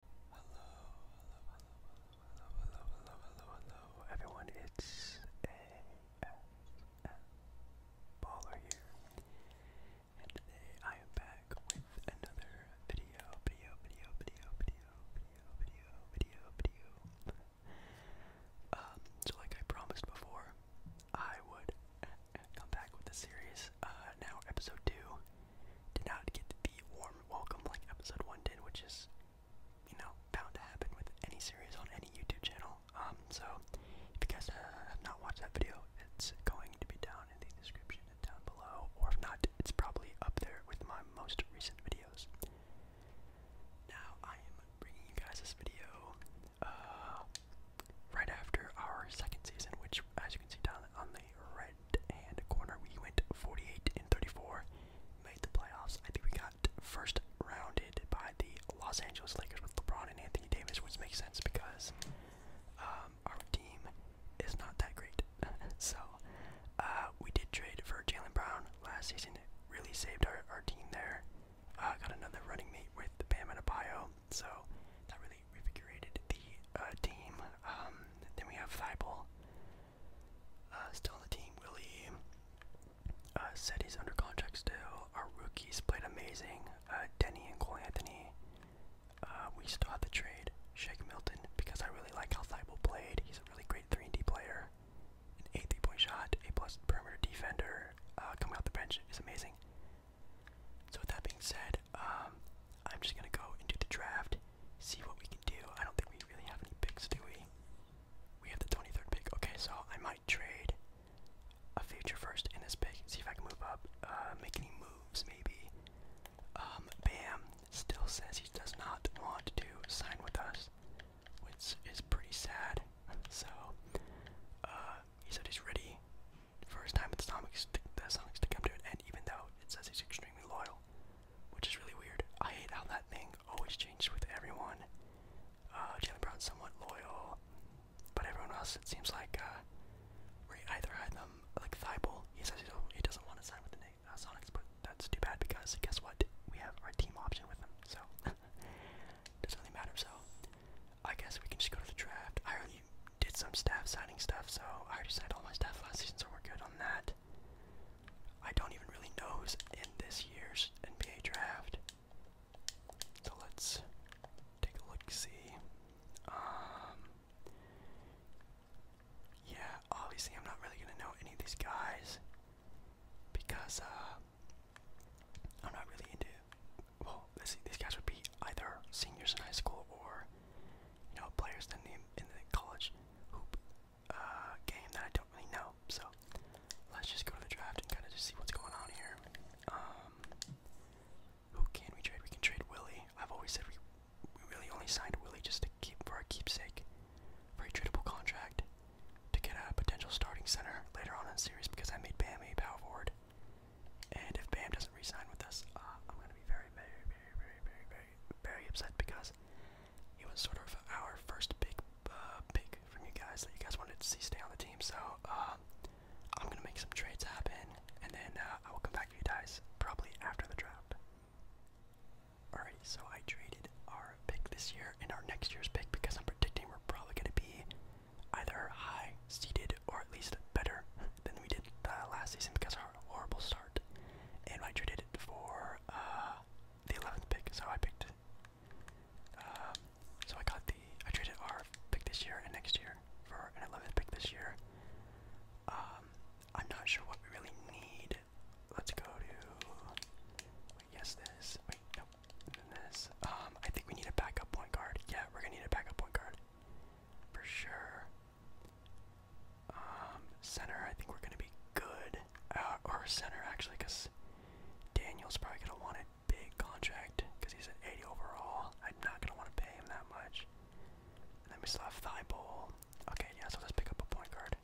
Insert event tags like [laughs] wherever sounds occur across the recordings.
Hello, hello, hello, hello, hello, hello, hello, hello, everyone. It's ASM Baller here, and today I am back with another video, video, video, video, video, video, video, video, video. so like I promised before, I would come back with the series. now episode two did not get the warm welcome like episode one did, which is, you know, bound to happen with any series on any YouTube channel. Um, so if you guys uh, have not watched that video, it's going to be down in the description and down below, or if not, it's probably up there with my most recent videos. Now I am bringing you guys this video uh, right after our second season, which, as you can see down on the right right corner. We went 48 and 34, made the playoffs. I think we got first rounded by the Los Angeles Lakers with LeBron and Anthony Davis, which makes sense because um, our team is not that great. [laughs] so uh, we did trade for Jalen Brown last season. It really saved our, our team there. Uh, got another running mate with Bam Adebayo, so that really. Refigurated the uh, team. Um, then we have Thibault, uh, still on the team, Willie uh, said he's under contract still. Our rookies played amazing. Uh, Denny and Cole Anthony. we still have the trade. Shake Milton because I really like how Thibault played. He's a really great 3 and D player. An three-point shot, A plus perimeter defender. coming off the bench is amazing. So with that being said, um, I'm just gonna go into the draft see what we can do. I don't think we really have any picks, do we? We have the 23rd pick. Okay, so I might trade a future first in this pick. See if I can move up. Uh, make any moves, maybe. Um, Bam still says he does not want to sign with us, which is pretty sad. [laughs] So, uh, he said he's ready for his time with the Sonics to, the Sonics to come to an end, even though it says he's extremely loyal which is really weird. I hate how that thing always changes with everyone. Uh, Jalen Brown's somewhat loyal, but everyone else, it seems like uh, we either had them, like Thibault, he says he doesn't want to sign with the uh, Sonics, but that's too bad because guess what? We have our team option with them, so [laughs] doesn't really matter. So I guess we can just go to the draft. I already did some staff signing stuff, so I already signed all my staff last season, so we're good on that. I don't even really know who's in this year's NBA draft. So let's take a look see. Um Yeah, obviously I'm not really gonna know any of these guys because uh I'm not really into well, let's see, these guys would be either seniors in high school or you know, players in the in the college hoop uh, game that I don't really know. So let's just go to the draft and kind of just see what's going on here. Um, who can we trade? We can trade Willie. I've always said we we really only signed Willie just to keep for our keepsake, for a tradable contract, to get a potential starting center later on in the series because I made Bam a power forward. And if Bam doesn't resign with us, uh, I'm gonna be very, very, very, very, very, very, very, upset because it was sort of our first big uh, pick from you guys that you guys wanted to see stay on the team. So um, I'm gonna make some trades happen, and then uh, I will come back to you guys probably after the draft. Alright, so I traded our pick this year and our next year's pick because I'm predicting we're probably going to be either high seeded or at least better [laughs] than we did uh, last season because of our horrible start and I traded it for uh, the 11th pick. So I picked. Um, so I got the I traded our pick this year and next year for an 11th pick this year. Um, I'm not sure what we really need. Let's go to. Wait, yes, this. Wait, no, this. Um, I think we need a backup point guard. Yeah, we're gonna need a backup point guard for sure. Um, center, I think we're going to be good. Uh, Our center, actually, because Daniel's probably going to want a big contract because he's an 80 overall. I'm not going to want to pay him that much. Let me we still have Thibault. Okay, yeah, so let's pick up a point guard.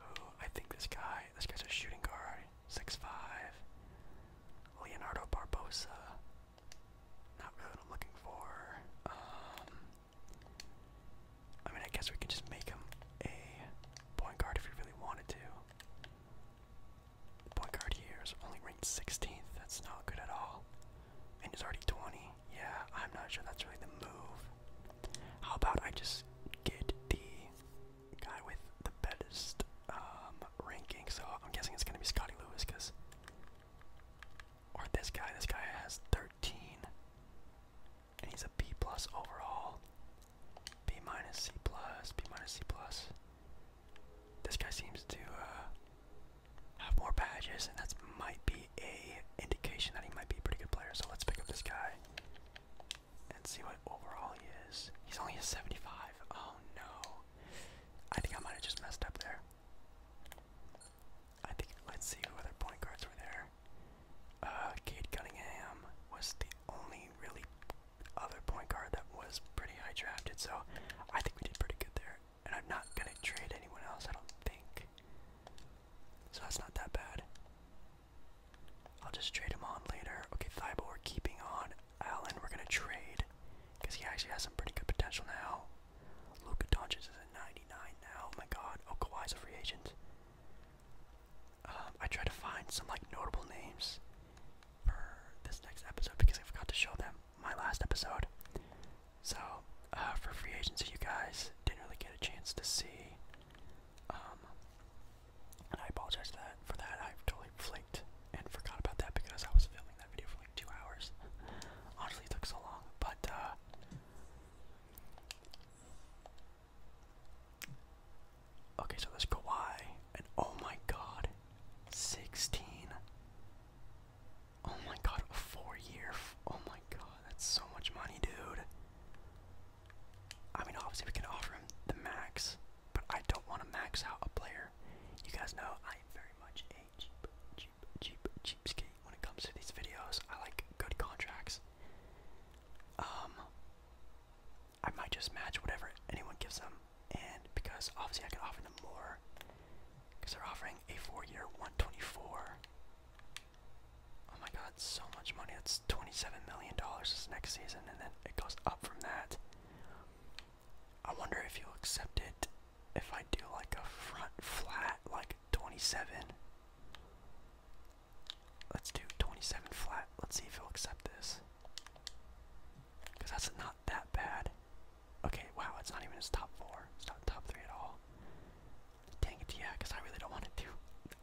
Oh, I think this guy, this guy's a shooting guard. Six five. Leonardo Barbosa. Not really I'm looking for. Um, I mean, I guess we could just make him a point guard if we really wanted to. point guard here is only ranked 16th. That's not good at all. And he's already 20. Yeah, I'm not sure that's really the move. How about I just get the guy with the best um, ranking? So I'm guessing it's going to be Scotty Lewis because or this guy. This guy has 13. And he's a B plus overall. B minus C plus. B minus C plus. This guy seems to uh, have more badges, and that might be a indication that he might be a pretty good player. So let's pick up this guy and see what overall he is. He's only a 75. Oh no. I think I might have just messed up there. I think let's see who other point guards were there. Uh, Cade Cunningham was the only really other point guard that was pretty high drafted, so I think we did pretty good there. And I'm not gonna trade anyone else, I don't think. So that's not that bad. I'll just trade him on later. Okay, Thibault, we're keeping on Allen. We're gonna trade because he actually has some pretty good potential now. Luka Doncic is at 99 now. Oh my god. Oh, Kawhi's a free agent. Um, I tried to find some like notable names for this next episode because I forgot to show them my last episode. So, uh, for free agents, you guys didn't really get a chance to see. Um, I apologize for that. For that, i totally flaked and forgot about that because I was filming that video for like two hours. [laughs] Honestly, it took so long. But uh, Okay, so let's there's Kawhi, and oh my god, 16. Oh my god, a four year. Oh my god, that's so much money, dude. I mean, obviously, we can offer him the max, but I don't want to max out a player. You guys know I am very much a cheap, cheap, cheapskate when it comes to these videos. I like good contracts. Um, I might just match whatever anyone gives them, and because obviously I can offer them more, because they're offering a four-year 124. Oh my God, so much money! That's 27 million dollars this next season, and then it goes up from that. I wonder if you'll accept it if I do like a front flat, like 27. Let's do 27 flat. Let's see if he'll accept this. Because that's not that bad. Okay, wow, it's not even his top four. It's not top three at all. Dang it, yeah, because I really don't want to do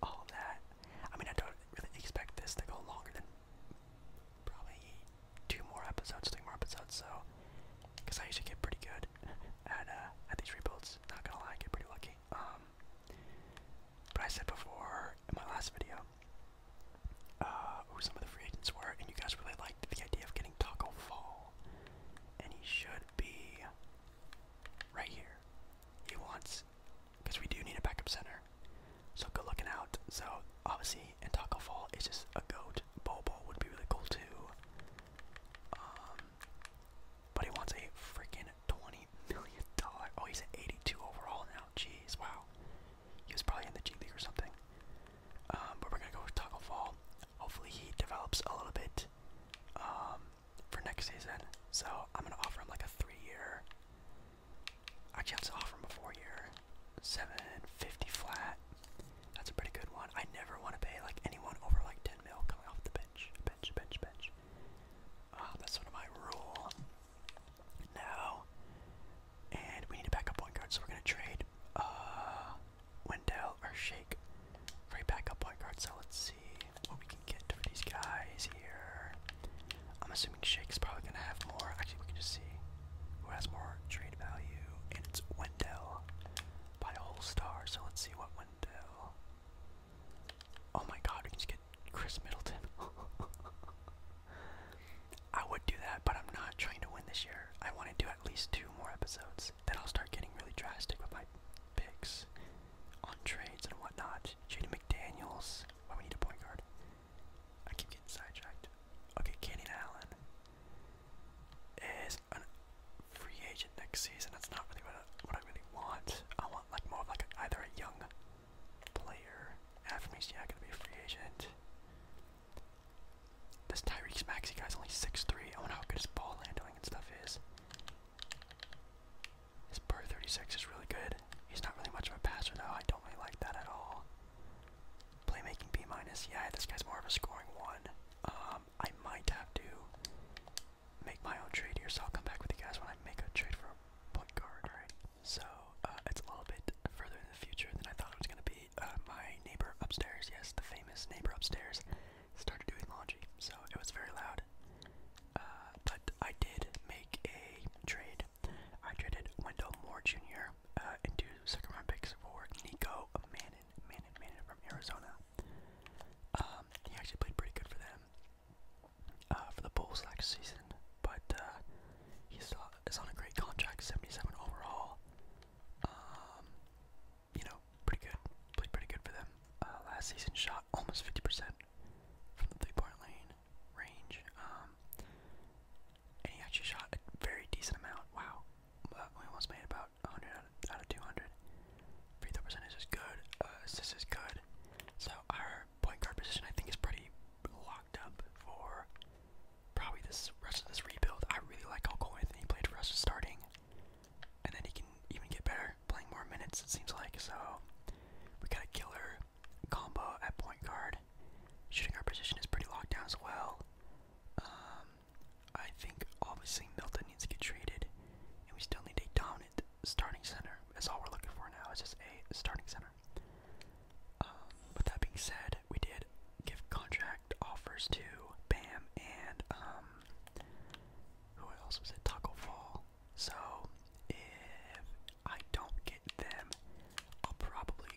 all that. I mean, I don't really expect this to go longer than probably two more episodes, three more episodes, so. Because I usually get pretty good at uh, at these rebuilds. Not gonna lie, I get pretty lucky. Um, but I said before in my last video uh, who some of the free agents were, and you guys really liked the idea of getting Taco Fall, and he should be right here. He wants because we do need a backup center. So go looking out. So obviously, and Taco Fall is just a goat. Bobo would be really cool too. Um, but he wants a freaking twenty million dollar. Oh, he's at 82 overall now. Jeez, wow. He was probably in the G League or something. Um, but we're gonna go with Taco Fall. Hopefully, he develops a little bit um, for next season. So I'm gonna offer him like a three-year. Actually, I'm gonna offer him a four-year, 750 flat. That's a pretty good one. I never want to pay like anyone over like 10 mil coming off the bench. Bench, bench, bench. Uh, that's sort of my rule now. And we need a backup point guard, so we're gonna trade uh, Wendell or Shake for a backup point guard. So let's see what we can get for these guys here. I'm assuming Shake's probably gonna have more. Actually, we can just see who has more trade value, and it's Wendell by a star, so let's see what window. Oh my god, we just get Chris Middleton. [laughs] I would do that, but I'm not trying to win this year. I want to do at least two more episodes. Then I'll start getting really drastic with my picks on trades and whatnot. Jaden McDaniels. Why oh, we need a point guard? I keep getting sidetracked. Okay, Canyon Allen is a free agent next season. That's not really what I, what I really want. I want like more of like either a young player. Aframi's yeah gonna be a free agent. This Tyreek Maxey guy's only 6'3". I wonder how good his ball handling and stuff is. His per 36 is really good. He's not really much of a passer though. I don't really like that at all. Playmaking B minus. Yeah, this guy's more of a scoring one. Um, um, I might have to make my own trade here, so I'll come back with you guys when I make a trade for a point guard. Alright, so uh, it's a little bit further in the future than I thought it was going to be. Uh, my neighbor upstairs, yes, the famous neighbor upstairs, started doing laundry, so it was very loud. Uh, but I did make a trade. I traded Wendell Moore Jr. Uh, into second round picks for Nico Mann Manon, Manon, Manon from Arizona. Um, he actually played pretty good for them uh, for the Bulls last season, but uh, he's is on a great contract, 77 overall. Um, you know, pretty good. Played pretty good for them uh, last season. Shot almost 50% from the three-point lane range. Um, and he actually shot a very decent amount. Wow, but we almost made about 100 out of, 200. Free throw percentage is good. Uh, assist is good. So our point guard position, I think, is pretty locked up for probably this rest of this rebuild. I really like how Cole Anthony played for us starting, and then he can even get better playing more minutes. It seems like so. We got a killer combo at point guard. Shooting our position is pretty locked down as well. Um, I think obviously Milton needs to get treated, and we still need a dominant starting center. That's all we're looking for now is just a starting center. Um, with that being said, we did give contract offers to Bam and um, who else was it? Taco Fall. So if I don't get them, I'll probably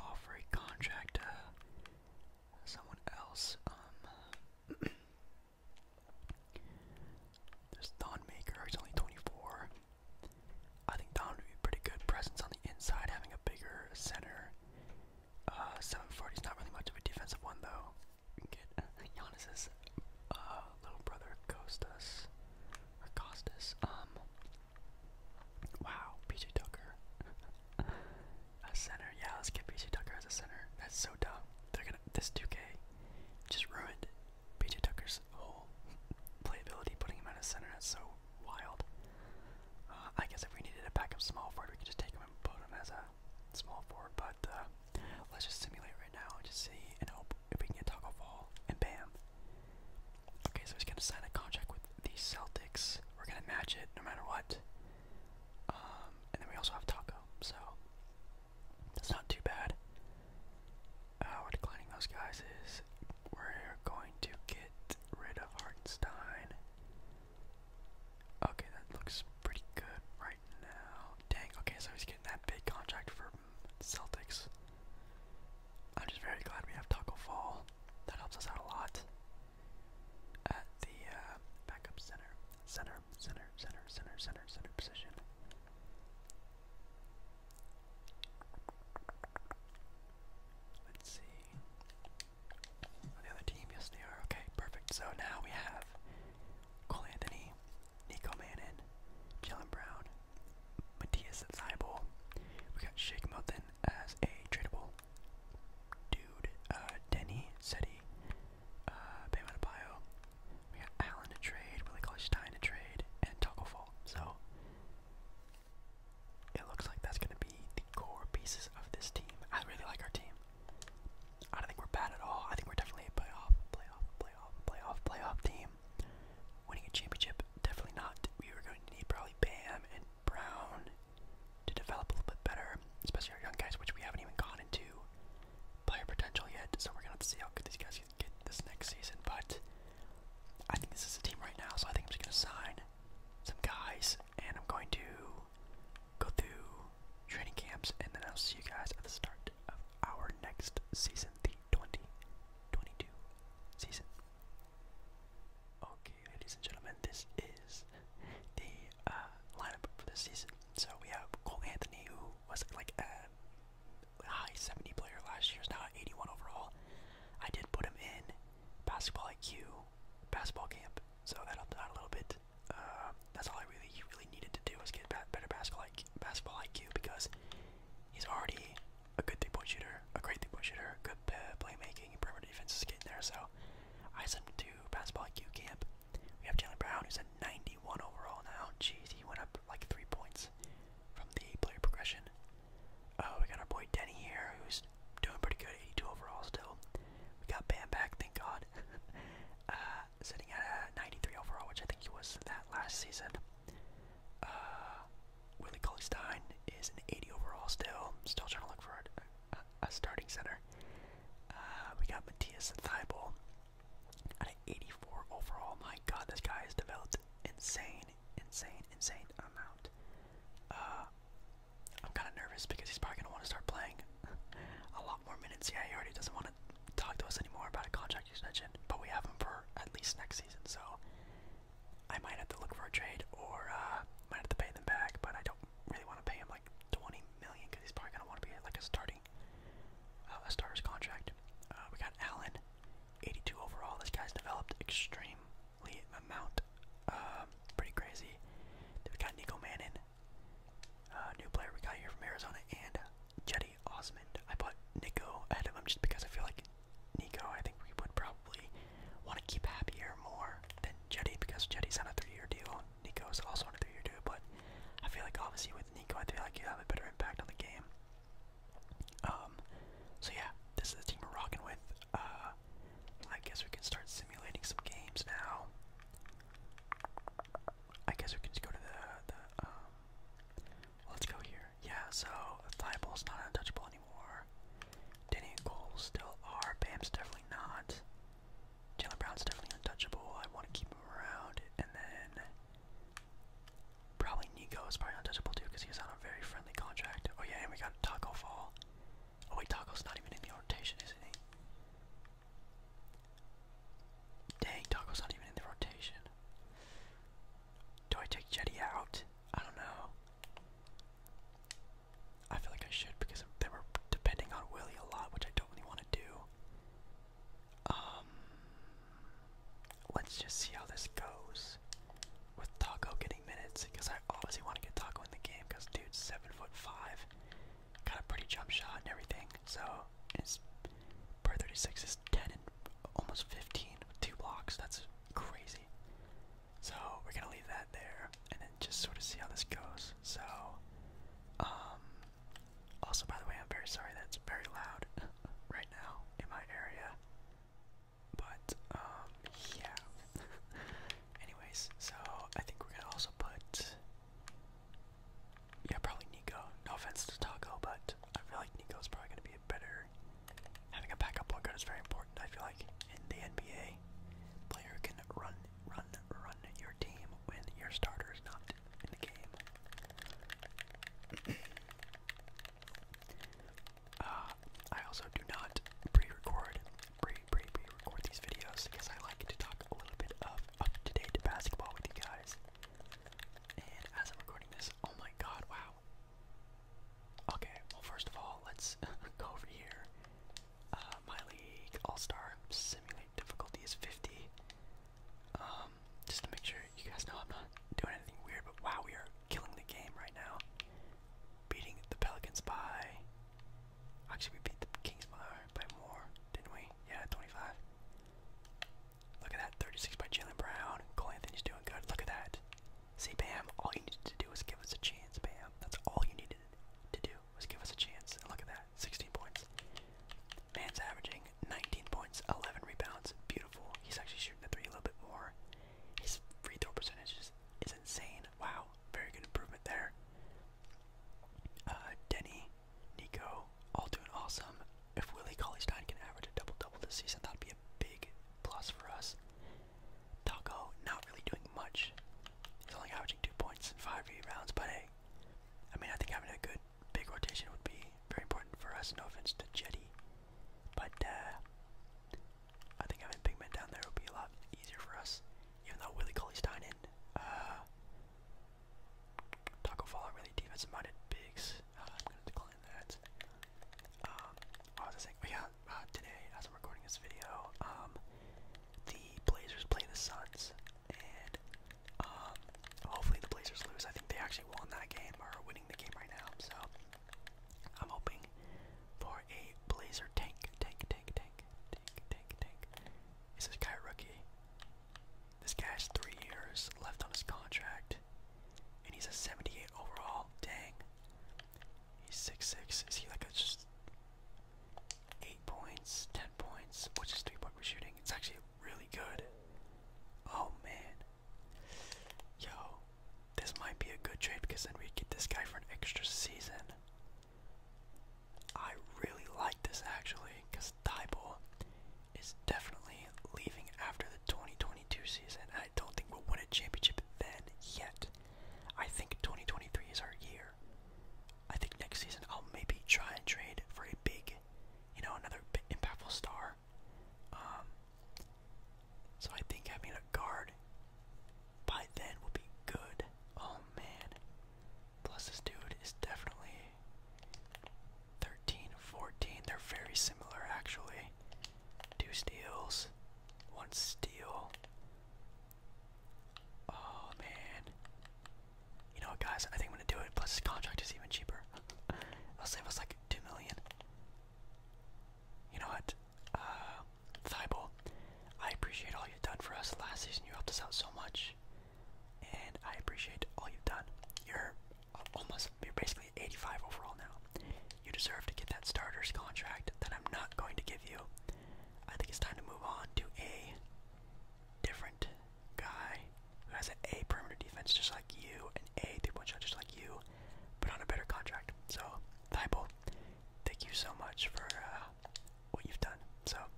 offer a contract to someone else. Um, [clears throat] there's Don Maker. He's only 24. I think Don would be pretty good presence on the inside, having a bigger center. Uh, seven foot. not really much of a defensive one though. get uh, Giannis's uh, little brother Costas Costas. Um. Wow, PJ Tucker. [laughs] A center. Yeah, let's get PJ Tucker as a center. That's so dumb. They're gonna this 2K just ruined PJ Tucker's whole playability, putting him out of center. That's so wild. Uh, I guess if we needed a backup small forward, we could just take him and put him as a small forward. But uh, let's just simulate right now and just see and hope if we can get Taco Fall and bam. Okay, so he's gonna sign a contract with the Celtics. We're gonna match it no matter what. Um, and then we also have Taco, so that's not too bad. Uh, declining those guys. Is we're going to get rid of Hartenstein. Okay, that looks pretty good right now. Dang. Okay, so he's getting that big contract for Celtics. I'm just very glad we have Taco Fall. That helps us out a lot at the uh, backup center, center, center, center, center, center, center position. Let's see. Oh, the other team, yes, they are. Okay, perfect. So now we have Cole Anthony, Nico Mannon, Jalen Brown, Matthias Seibel. We got Shake Milton as a tradable dude, uh, Denny, Seti, uh, Bam Adebayo. We got Allen to trade, Willie College to trade, and Togglefall. So it looks like that's gonna be the core pieces of this team. I really like our team. I don't think we're bad at all. I think we're definitely a playoff, playoff, playoff, playoff, playoff team. Winning a championship, definitely not. We were going to need probably Bam and Brown to develop a little bit better, especially our young guys, which we haven't even gotten into player potential yet. So we're gonna see how good these guys can get this next season. But I think this is a team right now, so I think I'm just gonna sign some guys, and I'm going to go through training camps, and then I'll see you guys at the start of our next season, the 2022 season. Okay ladies and gentlemen. This is the uh, lineup for this season. So we have Cole Anthony, who was like a high 70 player last year, is now at 81 overall. I did put him in basketball IQ, basketball camp, so that helped out a little bit. Uh, that's all I really, really needed to do was get better basketball IQ, basketball IQ because he's already a good three-point shooter, a great three-point shooter, good uh, playmaking, perimeter defense is getting there. So I sent 2 basketball IQ camp. We have Jalen Brown, who's a 91 overall now. Jeez, he went up like three points from the player progression. Oh, we got our boy Denny here, who's doing pretty good, 82 overall still. We got Bam back, thank God. [laughs] Uh, sitting at a uh, 93 overall, which I think he was that last season. Uh, Willie Cauley Stein is an 80 overall still. Still trying to look for a starting center. Uh, we got Matthias Thibault at an 84 overall. My God, this guy has developed insane, insane, insane amount. Uh, I'm kind of nervous because he's probably gonna want to start playing [laughs] a lot more minutes. Yeah, he already doesn't want to talk to us anymore about a contract extension, but we have him for at least next season. So I might have to look for a trade or uh, might have to pay them back, but I don't really want to pay him like 20 million because he's probably gonna want to be like a starting, uh, a starter's contract. Uh, we got Allen, 82 overall. This guy's developed extremely amount, uh, pretty crazy. Then we got Nico Mannin, uh, new player we got here from Arizona, and Jetty Osmond. I put Nico ahead of him just because I feel like Nico, I think we would probably want to keep happier more than Jetty because Jetty's on a three-year deal Nico is also under the year too, but I feel like obviously with Nico, I feel like you have a better impact on the game. Um, so yeah, this is the team we're rocking with. Uh, I guess we can start simulating some games now. I guess we can just go to the, the um, let's go here. Yeah, so Thibault's not untouchable anymore. Danny and Cole still are. Bam's definitely not. Jalen is definitely untouchable. I want to keep him around. And then probably Nico is probably untouchable too because he was on a very friendly contract. Oh yeah, and we got Taco Fall. Oh wait, Taco's not even in the rotation, isn't he? Dang, Taco's not even in the rotation. Do I take Jetty out? I don't know. I feel like I should because they were depending on Willie a lot, which I don't really want to do. Um, let's just see how this goes with Taco getting minutes because I obviously want to get Taco in the game because dude's seven foot five, got a pretty jump shot and everything. So his per thirty six is ten and almost fifteen, with two blocks. That's crazy. So we're gonna leave that there, and then just sort of see how this goes. So, um, also by the way, I'm very sorry that very loud [laughs] right now in my area. But um, yeah. [laughs] Anyways, so I think we're gonna also put, yeah, probably Nico. No offense to Taco, but I feel like Nico is probably gonna be a better. Having a backup point guard is very important. I feel like in the NBA, player can run, run, run your team when your starter is not in the game. [coughs] uh, I also do not pre-record, pre pre pre record these videos because I like to talk a little bit of up-to-date basketball with you guys. And as I'm recording this, oh my god, wow. Okay, well first of all, let's [laughs] go over here uh, All-Star Simulate difficulty is 50. Um, just to make sure you guys know I'm not doing anything weird, but wow, we are killing the game right now. Beating the Pelicans by... Actually, we beat the Kings by, by more, didn't we? Yeah, 25. Look at that, 36 by Jalen Brown. Cole Anthony's doing good. Look at that. See, Bam, all you needed to do was give us a chance, Bam. That's all you needed to do was give us a chance. look at that, 16 points. Man's averaging 19 points, 11 rebounds. Beautiful. He's actually shooting the three a little bit more. His free throw percentage is, insane. Wow, very good improvement there. Uh, Denny, Nico, all doing awesome. If Willie Cauley Stein can average a double double this season, that'd be a big plus for us. Taco, not really doing much. He's only averaging two points in five rebounds, but hey, I mean, I think having a good big rotation would be very important for us. No offense to Jetty, but uh, I think having big men down there would be a lot easier for us. Even though Willie Cauley Stein and uh, Taco Fall are really defensive minded bigs. Uh, I'm gonna decline that. Um, what was I saying? Oh, yeah, uh, today, as I'm recording this video, um, the Blazers play the Suns, and um, hopefully the Blazers lose. I think they actually won that game or are winning the game right now. So I'm hoping for a Blazer tank, tank, tank, tank, tank, tank, tank. Is this guy a rookie? This guy has three years left on his contract, and he's a 78 overall. Dang. He's 6'6". Is he like a just 8 points, 10 points, which is 3 point for shooting. It's actually really good. Oh man. Yo, this might be a good trade because then we get this guy for an extra season. I really like this actually because Thibault is definitely leaving after the 2022 season. I don't think we'll win a championship then yet. I think 2023 is our year. I think next season I'll maybe try and trade for a big, you know, another impactful star. Um, so I think having a guard by then will be good. Oh man. Plus this dude is definitely 13, 14. They're very similar actually. Two steals, one steal, Oh man. You know what guys, I think I'm gonna do it, plus this contract is even cheaper. [laughs] I'll save us like two million. You know what? Uh, Thibault, I appreciate all you've done for us last season. You helped us out so much. And I appreciate all you've done. You're almost you're basically 85 overall now. You deserve to get that starters contract that I'm not going to give you. I think it's time to move on to a different guy who has an A perimeter defense just like you, and A three-point shot just like you, but on a better contract. So, Thibault, thank you so much for uh, what you've done. So, all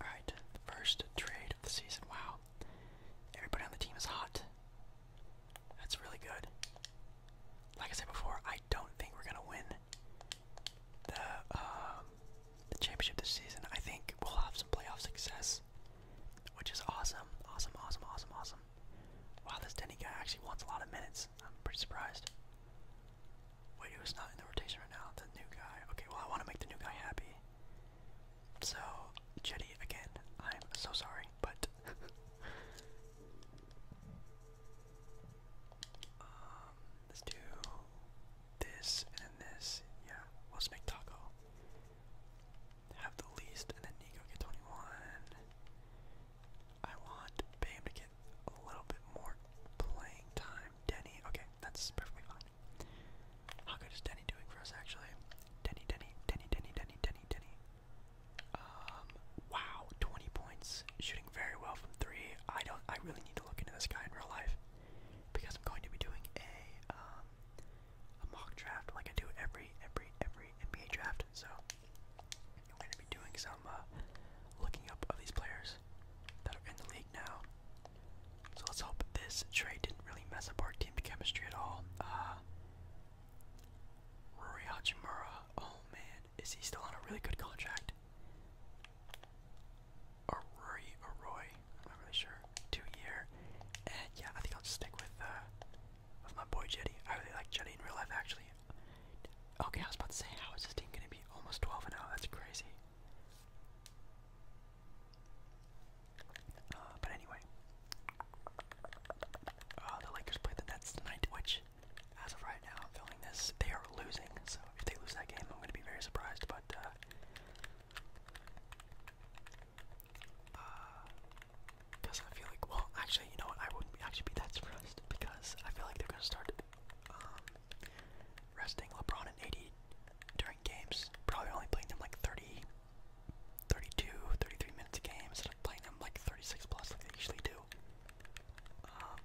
right, first trade of the season. Wow, everybody on the team is hot. That's really good. Like I said before, I don't think we're gonna win um, the championship this season. I think we'll have some playoff success, which is awesome, awesome, awesome, awesome, awesome. Wow, this Denny guy actually wants a lot of minutes. I'm pretty surprised. Wait, who's not in the rotation right now? The new guy. Okay, well I want to make the new guy happy. So, Jetty again. I'm so sorry, but [laughs] Um, let's do this and this. Yeah, let's make taco. Have the least, and then Nico get 21. I want Bam to get a little bit more playing time. Denny, okay, that's perfectly fine. How good is Denny doing for us, actually? Denny, Denny, Denny, Denny, Denny, Denny, Denny. Um, wow, 20 points, shooting very well from three. I don't. I really need to look into this guy in real life because I'm going to be doing a um, a mock draft like I do every every every NBA draft. So I'm going to be doing some uh, looking up of these players that are in the league now. So let's hope this trade didn't really mess up our team chemistry at all. Uh, Rory Hachimura, oh man, is he still on a really good contract? Or Rory or Roy? I'm not really sure. Two year. And yeah, I think I'll stick with uh, with my boy Jetty. I really like Jetty in real life actually. Okay, I was about to say how is this team gonna be almost 12 and oh? That's crazy. Uh, but anyway, uh, the Lakers play the Nets tonight, which as of right now, i this, they are losing. So if they lose that game, I'm going to be very surprised. But because uh, uh, I feel like, well, actually, you know what? I wouldn't actually be that surprised because I feel like they're going to start um, resting LeBron and AD during games. Probably only playing them like 30, 32, 33 minutes a game instead of playing them like 36 plus like they usually do. Um,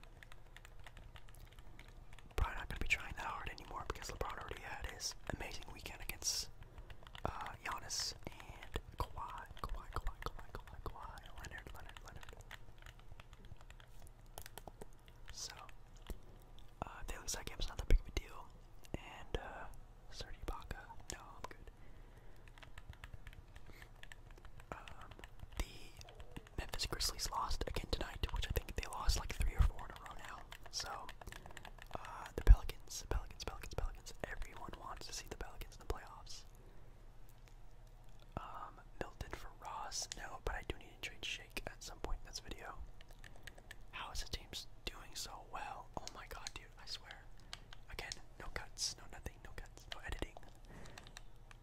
probably not going to be trying that hard anymore because LeBron already had his amazing weekend against uh, Giannis and Kawhi, Kawhi, Kawhi, Kawhi, Kawhi, Kawhi, Leonard, Leonard, Leonard. So, uh, if they lose that game, it's not that big of a deal. And, uh, Serge Ibaka, no, I'm good. Um, the Memphis Grizzlies lost again tonight, which I think they lost like three or four in a row now. So uh, the Pelicans, Pelicans, Pelicans, Pelicans. Everyone wants to see the Pelicans in the playoffs. Um, Milton for Ross, no, but I do need to trade Shake at some point in this video. How is the team doing so well? Oh my god, dude! I swear. Again, no cuts, no nothing, no cuts, no editing.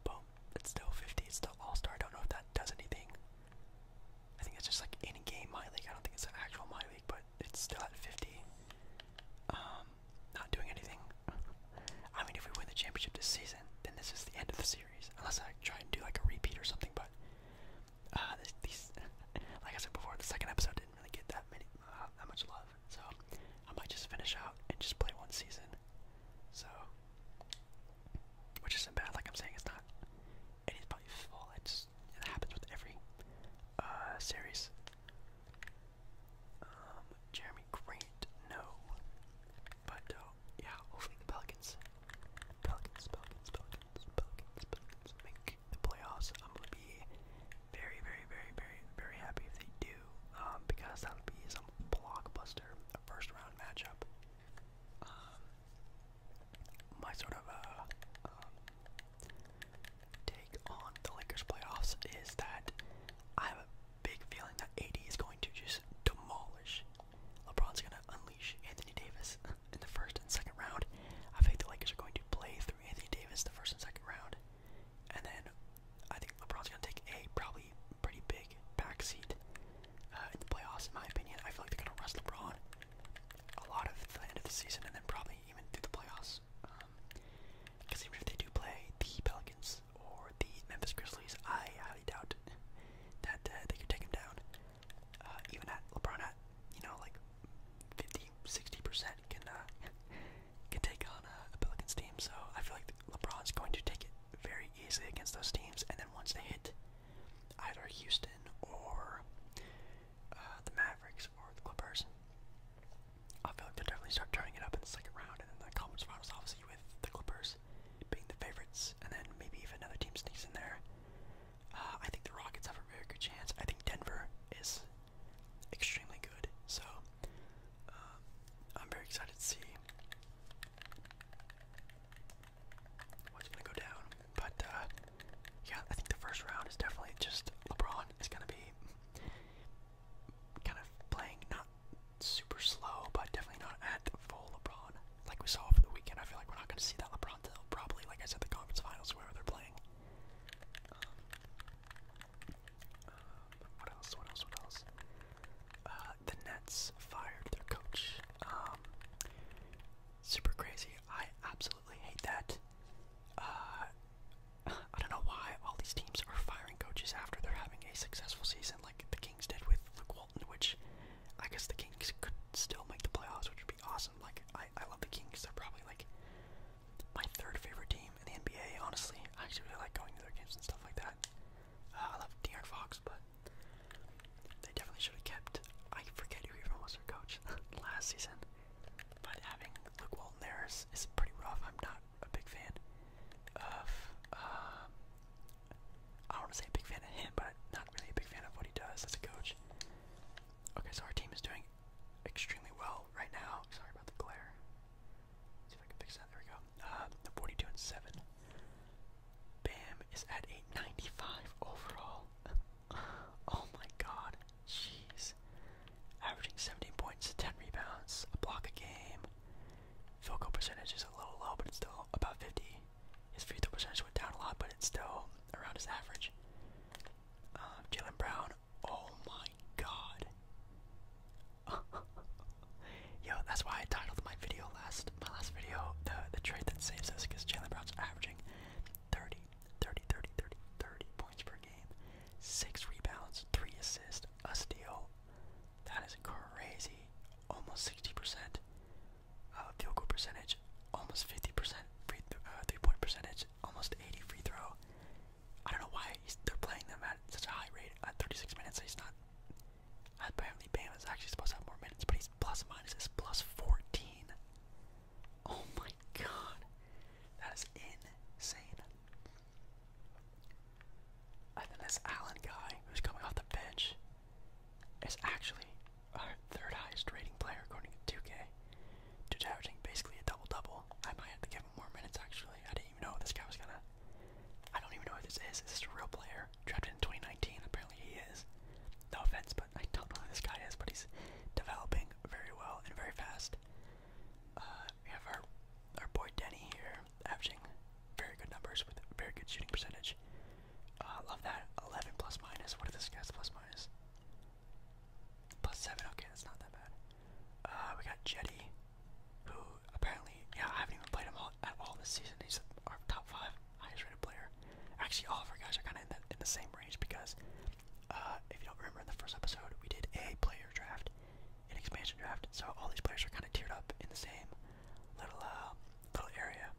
Boom it's still 50. It's still All Star. I don't know if that does anything. I think it's just like in game my league. I don't think it's an actual my league, but it's still at 50. Um, not doing anything. I mean, if we win the championship this season, then this is the end of the series. Unless I try and do like a repeat or something, but uh, these, [laughs] like I said before, the second episode didn't really get that many, uh, that much love. So I might just finish out and just play one season. So, which isn't bad. Like I'm saying, it's not anybody's fault. It it happens with every uh, series. Um, Jeremy Grant, no. But uh, yeah, [laughs] hopefully the Pelicans, Pelicans, Pelicans, Pelicans, Pelicans make the playoffs. I'm gonna be very, very, very, very, very happy if they do. Um, because that would be some blockbuster first round matchup. Um, my sort of uh, um, take on the Lakers playoffs is that I have a big feeling that AD is going to just demolish. LeBron's going to unleash Anthony Davis in the first and second round. I think the Lakers are going to play through Anthony Davis the first and second round. And then I think LeBron's gonna take a probably pretty big backseat uh, in the playoffs, in my opinion. I feel like they're gonna rest LeBron a lot at the end of the season, and then probably even through the playoffs. Because um, even if they do play the Pelicans or the Memphis Grizzlies, I highly doubt that uh, they could take him down. Uh, even at LeBron at you know like 50, 60 percent uh, can take on uh, a, Pelicans team. So I feel like LeBron's going to take it very easily against those teams, and then once they hit either Houston or uh, the Mavericks or the Clippers, I feel like they'll definitely start turning it up in the second round, and then the conference finals, obviously, with the Clippers being the favorites, and then maybe if another team sneaks in there. Uh, I think the Rockets have a very good chance. I think Denver is extremely good. So uh, I'm very excited to see what's going to go down. But uh, yeah, I think the first round is definitely just LeBron is going to be kind of playing not super slow, but definitely not at full LeBron like we saw for the weekend. I feel like we're not going to see that LeBron till probably, like I said, the conference finals, wherever they're playing. Um, um, what else? What else? What else? Uh, the Nets fired their coach. Um, super crazy. I absolutely hate that. Uh, [laughs] I don't know why all these teams are firing coaches after they're having a successful season, like the Kings did with Luke Walton, which I guess the Kings could still make the playoffs, which would be awesome. Like, I, I love the Kings. They're probably like my third favorite team in the NBA, honestly. I actually really like going to their games and stuff like that. Ah, I love De'Aaron Fox, but they definitely should have kept. I forget who he was their coach [laughs] last season, but having Luke Walton there is, is pretty rough. I'm not a big fan of. Um, I don't want to say a big fan of him, but not really a big fan of what he does as a coach. Okay, so our team is doing extremely well right now. Sorry about the glare see if I can fix that. There we go. Uh, the 42 and 7. Bam is at 895 overall. [laughs] oh my god. Jeez. Averaging 17 points, 10 rebounds, a block a game. Field goal percentage is a little low, but it's still about 50. His free throw percentage went down a lot, but it's still around his average. Um, Jalen Brown, oh my god. [laughs] Yo, that's why I titled my video last my last video the the trade that saves us because Jalen Brown's averaging 30, 30, 30, 30, points per game, six rebounds, three assists, a steal. That is crazy. Almost 60% uh, field goal percentage, almost 50% free uh, three point percentage, almost 80 free throw, I don't know why he's, they're playing them at such a high rate at 36 minutes. He's not. Apparently, Bam is actually supposed to have more minutes, but he's plus minus is plus 14. Oh my god, that is insane. And then this Allen guy who's coming off the bench is actually our third highest rating player according to 2K, to averaging basically a double double. I might have to give more minutes actually. I didn't even know this guy was gonna. I don't even know who this is. Is this a real player? Drafted in 2019. Apparently he is. No offense, but I don't know who this guy is. But he's developing very well and very fast. Uh, we have our our boy Denny here, averaging very good numbers with very good shooting percentage. I uh, love that. 11 plus minus. What What is this guy's plus minus? Plus seven. Okay, that's not that bad. Uh, we got Jetty, who apparently, yeah, I haven't even played him all, at all this season. He's our top five highest rated player. Actually, all of our guys are kind of in, that, in the same range because uh, if you don't remember in the first episode, we did a player draft, an expansion draft. So all these players are kind of tiered up in the same little uh, little area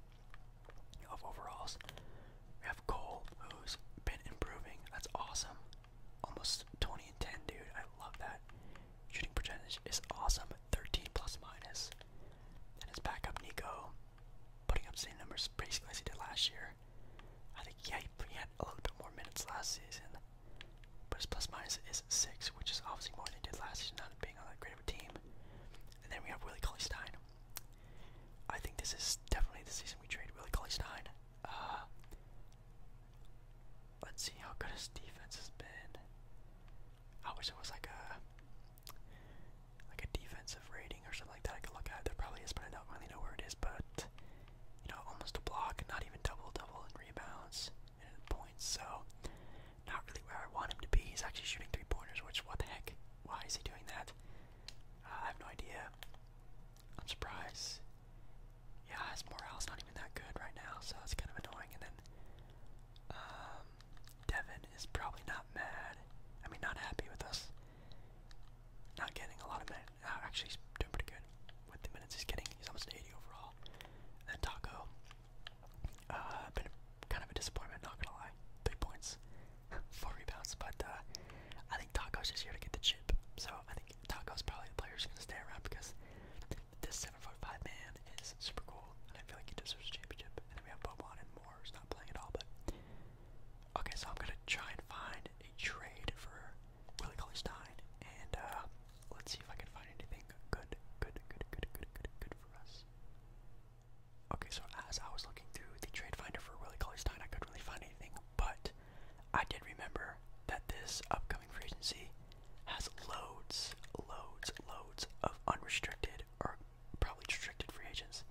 of overalls. We have Cole, who's been improving. That's awesome. Almost 20 and 10, dude. I love that. Shooting percentage is awesome. 13 plus minus. And his backup Nico putting up same numbers basically as he did last year. I think yeah, he had a little bit more minutes last season. But his plus minus is 6, which is obviously more than he did last season, not being on that great of a team. And then we have Willie Cauley Stein. I think this is definitely the season we trade Willie Cauley Stein. Uh, Let's see how good his defense has been. I wish it was like a like a defensive rating or something like that I could look at. There probably is, but I don't really know where it is. But you know, almost a block, not even double double in rebounds and points. So not really where I want him to be. He's actually shooting three pointers, which what the heck? Why is he doing that? Uh, I have no idea. I'm surprised yeah, his morale's not even that good right now, so it's kind of annoying. And then um, Devin is probably not mad. I mean, not happy with us. Not getting a lot of minutes. Uh, actually, he's doing pretty good with the minutes he's getting. He's almost 80 overall. then Taco, uh, been a, kind of a disappointment, not gonna lie. Three points, [laughs] four rebounds, but uh, I think Taco's just here to get the chip. So I think Taco's probably the player who's gonna stay around because this seven foot five man is super cool, and I feel like he deserves a championship. And then we have Bobon and Moore, who's not playing at all, but okay. So I'm gonna try and find a trade for Willie Cauley Stein, and uh, let's see if I can find anything good, good, good, good, good, good, good for us. Okay, so as I was looking through the trade finder for Willie Cauley Stein, I couldn't really find anything, but I did remember that this upcoming free agency has loads, loads, loads of unrestricted or probably restricted free agents.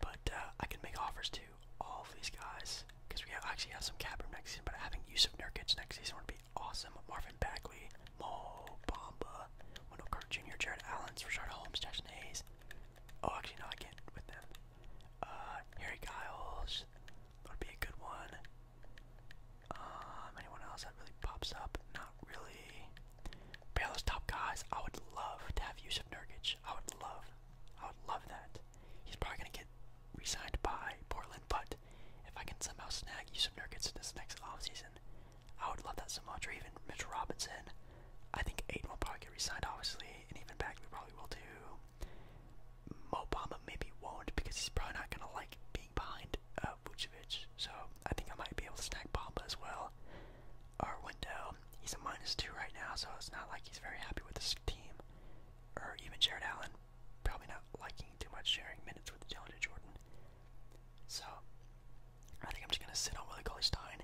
But uh, I can make offers to all of these guys because we actually have some cap room next season. But having use of Nurkic next season would be awesome. Marvin Bagley, Mo Bamba, Wendell Carter Jr., Jared Allen, Richard Holmes, Jackson Hayes. Oh, actually, no, I can't with them. Uh, Harry Giles. would be a good one. Um, anyone else that really pops up? Not really. But those top guys, I would love to have Yusuf Nurkic. I would love, I would love that. He's probably gonna get re-signed by Portland, but if I can somehow snag Yusuf Nurkic this next offseason, I would love that so much. Or even Mitch Robinson. I think Aiden will probably get re-signed, obviously, and even Bagley probably will too. Obama maybe won't because he's probably not gonna like being behind uh, Vucevic. So I think I might be able to snag Bamba as well. Our window, he's a minus two right now, so it's not like he's very happy with his team. Or even Jared Allen, probably not liking too much sharing minutes with DeAndre Jordan. So I think I'm just gonna sit on Willie Cauley Stein,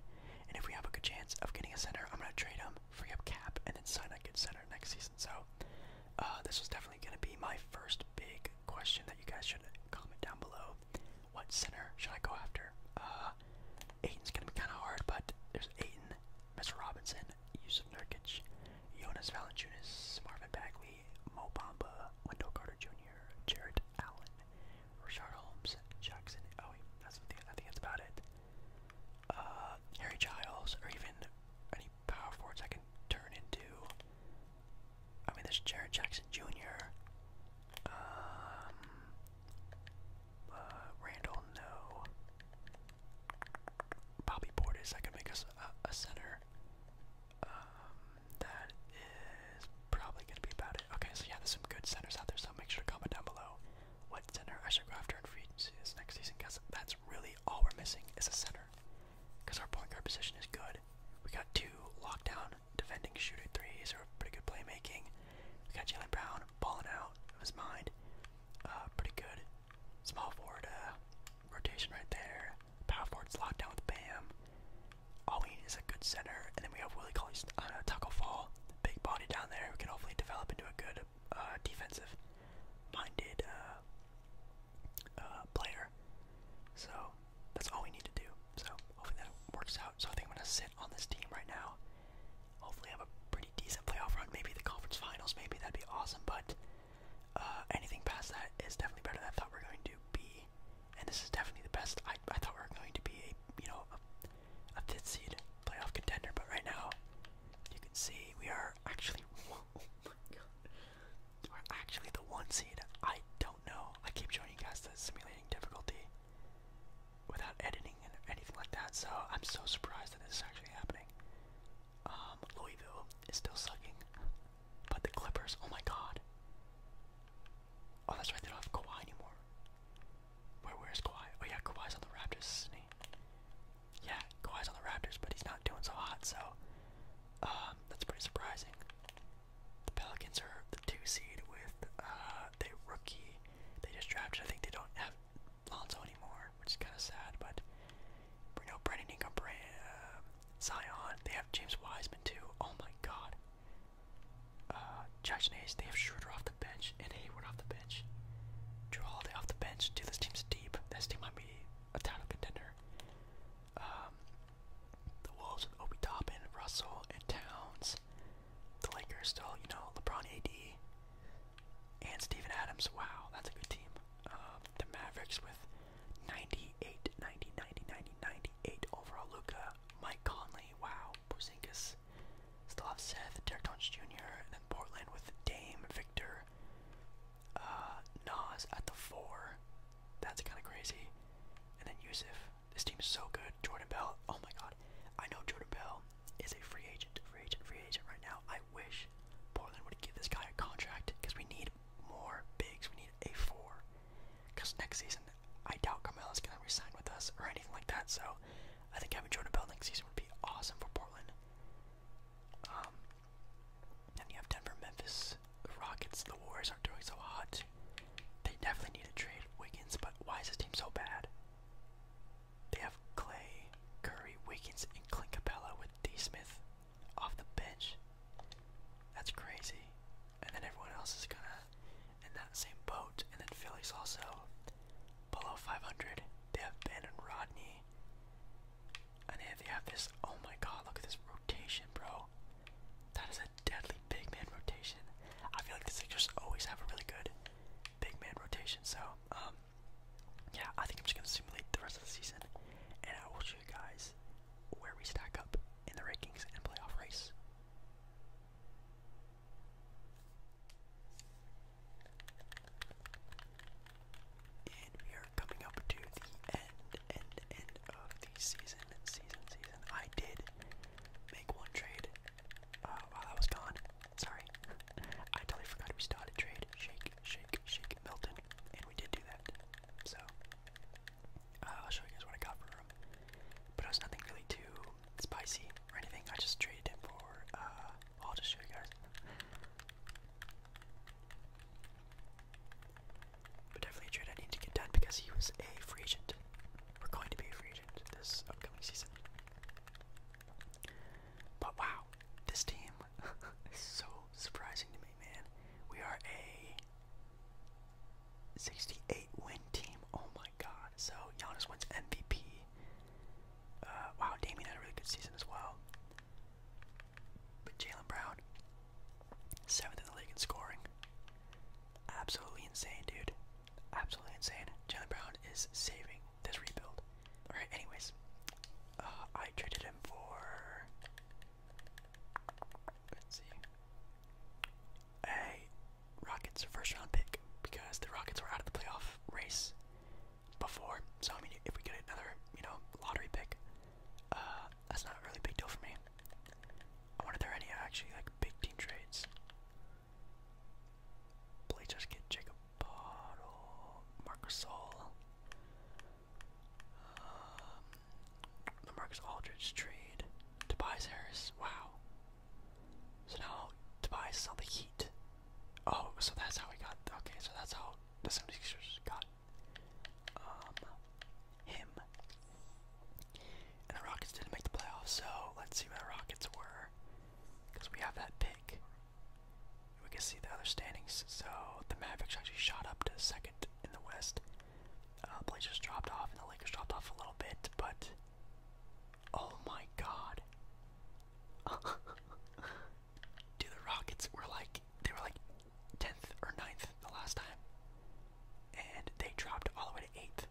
and if we have a good chance of getting a center, I'm gonna trade him, free up cap, and then sign a good center next season. So uh, this was definitely going to be my first big question that you guys should comment down below. What center should I go after? Uh, going to be kind of hard, but there's Aiton, Mr. Robinson, Yusuf Nurkic, Jonas Valanciunas, Marvin Bagley, Mo Bamba, Wendell Carter Jr., Jared Allen, Richard Holmes, Jackson. Oh, wait, that's, I think that's about it. Uh, Harry Giles, or even any power forwards I can turn into. I mean, there's Jared Jackson Jr. Um, uh, Randall, no. Bobby Portis, I could make us a, a center. Um, that is probably going to be about it. Okay, so yeah, there's some good centers out there, so make sure to comment down below what center I should go after in free this next season, because that's really all we're missing is a center corner because our point guard position is good. We got two lockdown defending shooter threes or pretty good playmaking. We got Jalen Brown balling out of his mind. Uh, pretty good small forward uh, rotation right there. Power forward's locked down with Bam. All we need is a good center, and then we have Willie Colley's on uh, a tackle fall. Big body down there We can hopefully develop into a good uh, defensive minded uh, So that's all we need to do. So hopefully that works out. So I think I'm gonna sit on this team right now. Hopefully have a pretty decent playoff run. Maybe the conference finals. Maybe that'd be awesome. But uh, anything past that is definitely better than I thought we we're going to be. And this is definitely the best. I I thought we were going to be a you know a, a fifth seed playoff contender. But right now you can see we are actually. [laughs] Oh my god are actually the one seed. I don't know. I keep showing you guys the simulating difficulty without editing and anything like that, so I'm so surprised that this is actually happening. Um, Louisville is still sucking, but the Clippers, oh my god. Oh, that's right, they don't have Kawhi anymore. Where, where's Kawhi? Oh yeah, Kawhi's on the Raptors, is yeah, Kawhi's on the Raptors, but he's not doing so hot, so um, that's pretty surprising. The Pelicans are the two seed with uh, the rookie. They just drafted. I think they don't have Lonzo anymore, which is kind of sad. But you know, Brandon Ingram, uh, Zion. They have James Wiseman too. Oh my God. Uh, Jackson Hayes. They have Schroeder off the bench and Hayward off the bench. Drew Holiday off the bench. Dude, this team's deep. This team might be a title contender. Um, the Wolves with Obi Toppin, Russell, and Towns. The Lakers still, you know, LeBron AD and Stephen Adams. Wow, that's a good team. Um, the Mavericks with 98, 90, 90, 90, 98 overall. Luca, Mike Conley. Wow, Porzingis. Still have Seth, Derrick Jones Jr., and then Portland with Dame, Victor, uh, Nas at the four. That's kind of crazy. And then Yusuf. This team is so good. Jordan Bell. Oh my God. I know Jordan Bell is a free agent, free agent, free agent right now. I wish Portland would give this guy a contract because we need more bigs. We need a four. Because next season, I doubt is gonna resign with us or anything like that. So, I think having Jordan Bell next season would be awesome for Portland. Um, and you have Denver, Memphis, Rockets, the Warriors aren't doing so hot. They definitely need to trade Wiggins, but why is this team so bad? They have Clay, Curry, Wiggins, and Clint Capella with D. Smith off the bench. That's crazy. And then everyone else is gonna in that same boat. And then Philly's also below 500. They have Ben and Rodney, and they have this, oh my god, look at this rotation, bro. That is a deadly big man rotation. I feel like the Sixers always have a really good big man rotation. So, um, yeah, I think I'm just gonna simulate the rest of the season, and I will show you guys where we stack up in the rankings and playoff race. And we are coming up to the end, end, end of the season, season, season. I did make one trade uh, while I was gone. Sorry. I totally forgot we started trade. Shake, shake, shake, Milton. And we did do that. So, uh, I'll show you guys what I got for him. But it was nothing really too spicy or anything. I just traded him for, uh, I'll just show you guys. But definitely I need to get done because he was a free We're going to be a free this upcoming season. But wow, this team [laughs] is so surprising to me, man. We are a 68 win team. Oh my god. So Giannis wins MVP. Uh, wow, Damien had a really good season as well. But Jalen Brown, seventh in the league in scoring. Absolutely insane, dude. Absolutely insane. Jalen Brown is saving this rebuild. Alright, anyways. Uh, I traded him for. Let's see. A Rockets first round pick because the Rockets were out of the playoff race before. So I mean, if we get another, you know, lottery pick, uh, that's not a really big deal for me. I wonder if there any actually like big team trades. Blake just get Jacob Bottle, Marcus All, um, the Marcus Aldridge trade, Tobias Harris. Wow. So now Tobias is on the Heat. Oh, so that's how we got. Okay, so that's how the 76 got um, him. And the Rockets didn't make the playoffs, so let's see where the Rockets were. Because we have that pick. We can see the other standings. So the Mavericks actually shot up to second in the West. Uh, Blazers dropped off, and the Lakers dropped off a little bit, but. Oh my god. [laughs] Dude, the Rockets were like. They were like tenth or 9th the last time, and they dropped all the way to eighth.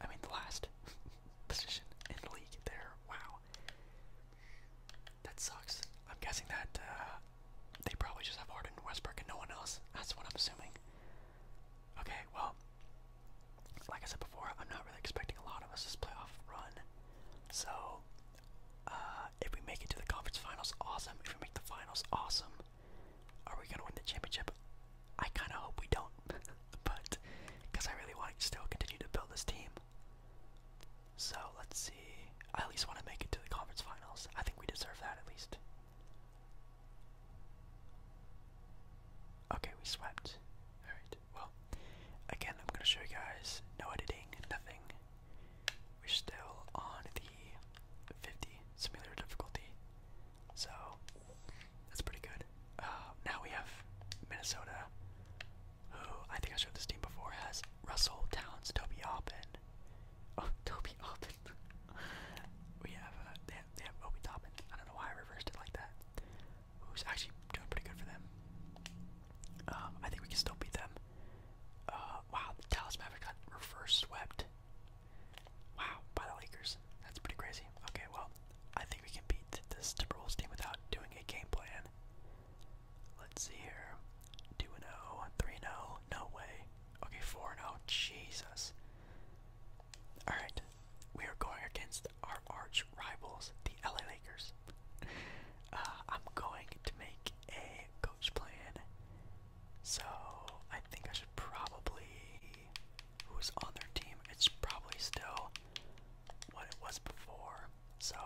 I mean, the last [laughs] position in the league. There, wow, that sucks. I'm guessing that uh, they probably just have Harden, Westbrook, and no one else. That's what I'm assuming. Okay, well, like I said before, I'm not really expecting a lot of us this playoff run, so uh, if we make it to the conference finals, awesome. If we make the finals, awesome. Are we gonna win the championship? I kind of hope we don't, [laughs] but because I really want to still continue to build this team. So let's see. I at least want to make it to the conference finals. I think we deserve that at least. Okay, we swept. Alright, well, again, I'm gonna show you guys no editing, nothing. We're still on the 50 simulator difficulty, so that's pretty good. Uh, now we have Minnesota, who I think I showed this team before, has Russell Towns, Toby Oppen. [laughs] Oh, Toby Oppen. [laughs] we have, uh, they have, they have I don't know why I reversed it like that. Who's actually doing pretty good for them. Uh, I think we can still beat them. Uh, wow, the Dallas Mavericks got reverse swept. Wow, by the Lakers. That's pretty crazy. Okay, well, I think we can beat this Timberwolves team without doing a game plan. Let's see here. 2 0, 3 0, no way. Okay, 4 0, Jesus. Alright, we are going against our arch rivals, the LA Lakers. [laughs] Uh, I'm going to make a coach playing. So I think I should probably who's on their team. It's probably still what it was before. So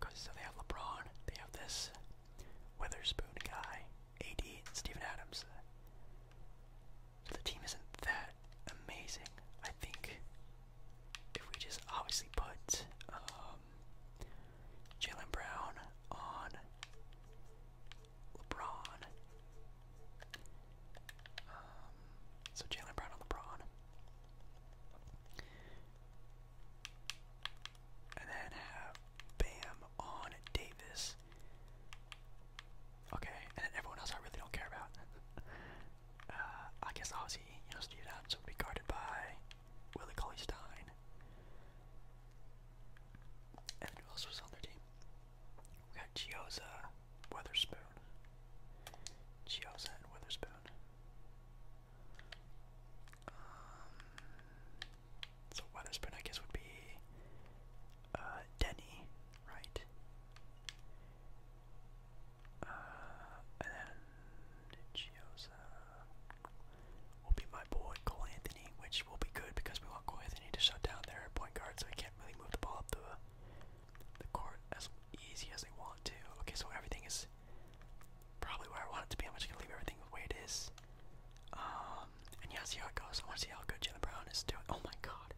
cause so they have LeBron, they have this Witherspoon guy, AD, Stephen Adams. So the team isn't that amazing. I think if we just obviously put um, Jalen Brown on LeBron. Um, so Jalen Brown on LeBron. And then have Bam on Davis. Okay, and then everyone else I really don't care about. [laughs] Uh, I guess obviously, you know, Steve Adams would be guarded by Willie Cauley Stein. And who else was on their team? We got Gioza, Weatherspoon. Gioza and Weatherspoon. Um, so Weatherspoon, I guess, would be uh, Denny, right? Uh, and then Gioza will be my boy Cole Anthony, which will be good because we want Cole Anthony to shut down their point guard, so he can't really move the ball up the the court as easy as they want to. Okay, so everything is probably where I want it to be. I'm just gonna leave everything the way it is. Um, and yeah, see how it goes. I want to see how good Jalen Brown is doing. Oh my god,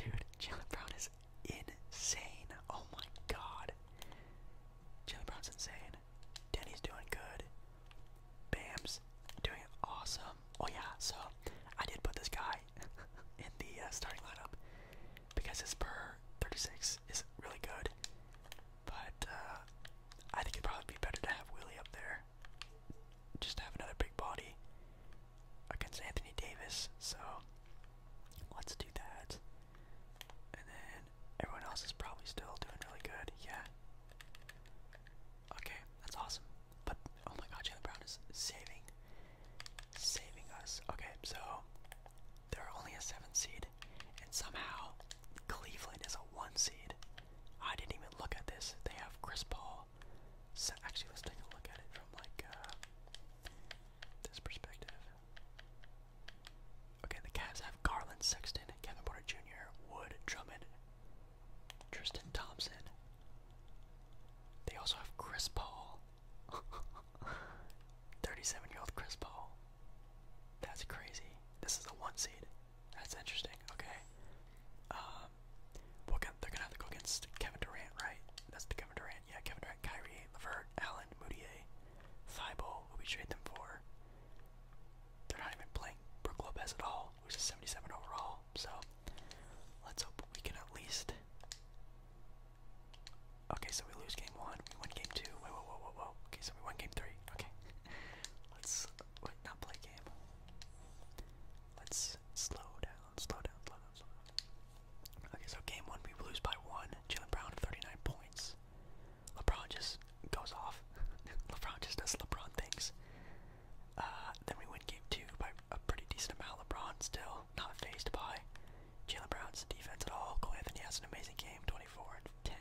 dude, Jalen Brown is insane. Oh my god, Jalen Brown's insane. Denny's doing good. Bam's doing awesome. Oh yeah, so I did put this guy [laughs] in the uh, starting lineup because his per 36 is really good. But uh, I think it'd probably be better to have Willie up there. Just have another big body against Anthony Davis. So let's do that. And then Everyone else is probably still doing really good. Yeah. Okay, that's awesome. But oh my god, Jalen Brown is saving, saving us. Okay, so they're only a seven seed, and somehow Cleveland is a one seed. I didn't even look at this. They have Chris Paul. actually, let's take a look at it from like uh, this perspective. Okay, the Cavs have Garland Sexton, Kevin Porter Jr., Wood, Drummond, Tristan Thompson. They also have Chris Paul. [laughs] 37 year old Chris Paul. That's crazy. This is a one seed. That's interesting. Okay. Um, they're gonna have to go against Kevin Durant, right? That's the Kevin Durant. Yeah, Kevin Durant. Kyrie, Levert, Allen, Moutier, Thibault, who we trade them for. They're not even playing Brook Lopez at all, who's a 77 overall. So let's hope we can at least. Okay, so we lose game one. We win game two. Wait, whoa, whoa, whoa, whoa. Okay, so we win game three. Okay, [laughs] let's not play game. Let's slow down, slow down, slow down. Okay, so game one we lose by one. Jalen Brown, 39 points. LeBron just goes off. [laughs] LeBron just does LeBron things. Uh, then we win game two by a pretty decent amount. LeBron still not phased by Jalen Brown's defense at all. Cole Anthony has an amazing game, 24 and 10.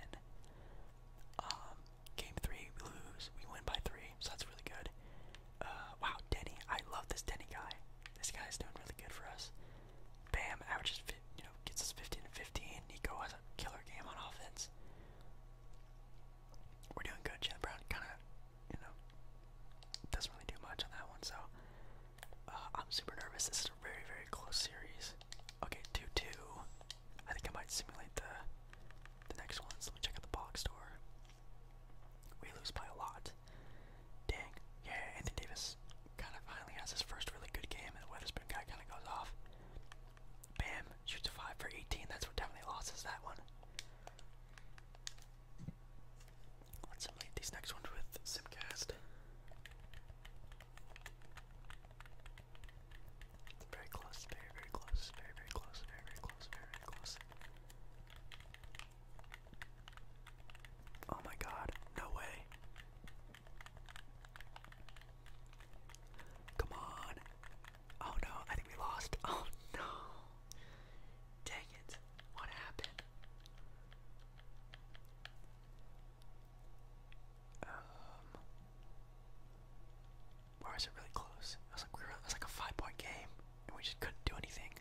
Um, game three, we lose. We win by three, so that's really good. Uh, wow, Denny. I love this Denny guy. This guy is doing really good for us. Bam averages you know, gets us 15 and 15. Nico has a killer game on offense. We're doing good. Chad Brown kind of, you know, doesn't really do much on that one. So uh, I'm super nervous. This is a very, very close series. Okay, 2 2. I think I might simulate the the next one. So let me check out the box score. We lose by a lot. Dang. Yeah, Anthony Davis kind of finally has his first really good game, and the Weatherspoon guy kind of goes off. Bam, shoots a 5 for 18. That's what definitely loses that one. Let's simulate these next ones with Simcast. very close, very, very close, very, very close, very, very close, very, very close. Oh my god, no way. Come on. Oh no, I think we lost. [laughs] Oh no. Dang it. What happened? Um, where was it really close? It was like we were, it was like a five-point game, and we just couldn't do anything.